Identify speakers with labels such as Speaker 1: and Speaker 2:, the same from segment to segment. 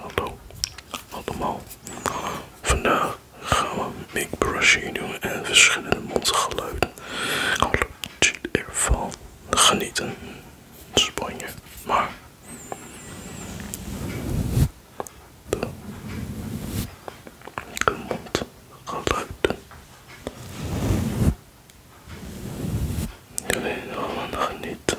Speaker 1: Hallo allemaal. Vandaag gaan we make brushie doen en verschillende mondgeluiden. Ik ervan genieten. Spanje. Maar. De, de mondgeluiden. Jullie allemaal genieten.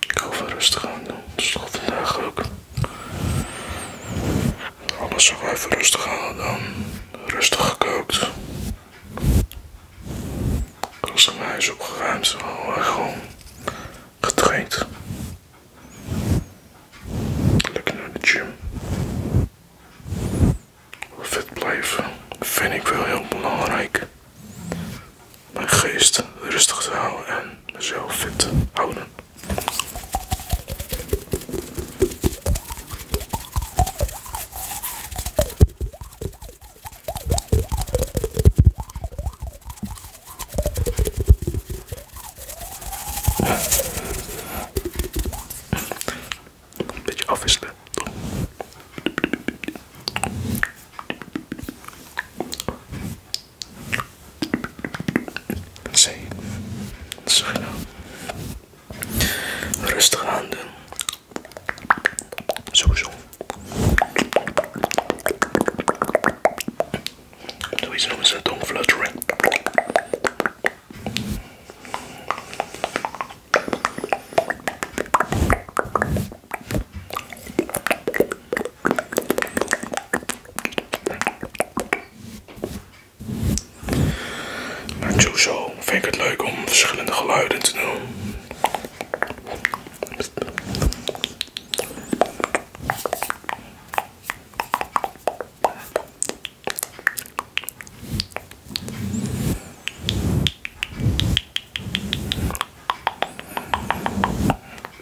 Speaker 1: Ik hou van rustig aan doen, is toch vandaag ook. Alles ook even rustig aan dan. Rustig gekookt. Rustig mijn huis opgeruimd, gewoon getraind. Lekker naar de gym. Fit blijven vind ik wel heel belangrijk mijn geest rustig te houden en mezelf fit houden. Een beetje afwisselen. Zee. zo nou. Rustig aan Zo Sowieso. Sowieso noemen ze Natuurlijk zo vind het leuk om verschillende geluiden te doen.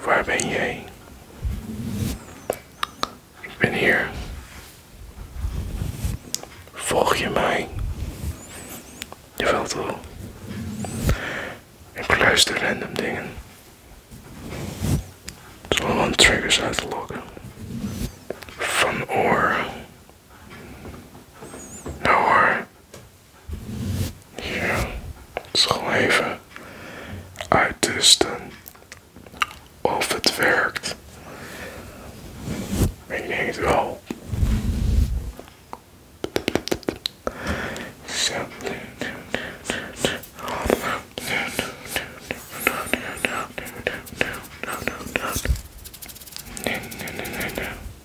Speaker 1: Waar ben jij? Ik ben hier. Volg je mij? valt toch? Ik luister random dingen. Zolang triggers lokken, Van oor nou hoor. Hier. Het is gewoon even uittesten of het werkt. Ik denk het wel.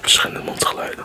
Speaker 1: Verschillende mondgeluiden.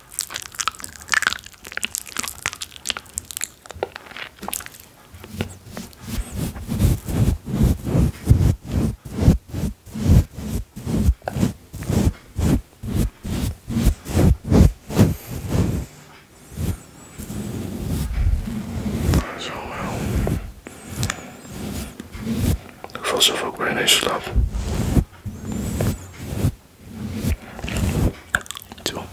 Speaker 1: Zo. Eh, ik val zelf ook in deze zo.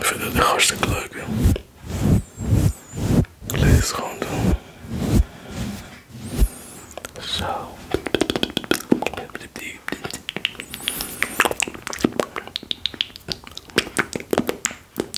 Speaker 1: vind dat echt hartstikke leuk, Lees gewoon Zo.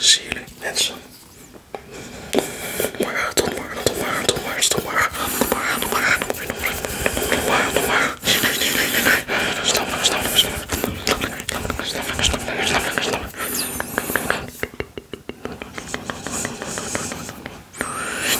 Speaker 1: Zie jullie mensen. Maar tot morgen, tot morgen, tot morgen, tot morgen, tot morgen, tot morgen, tot morgen, tot morgen, tot morgen. Stop, stop, stop.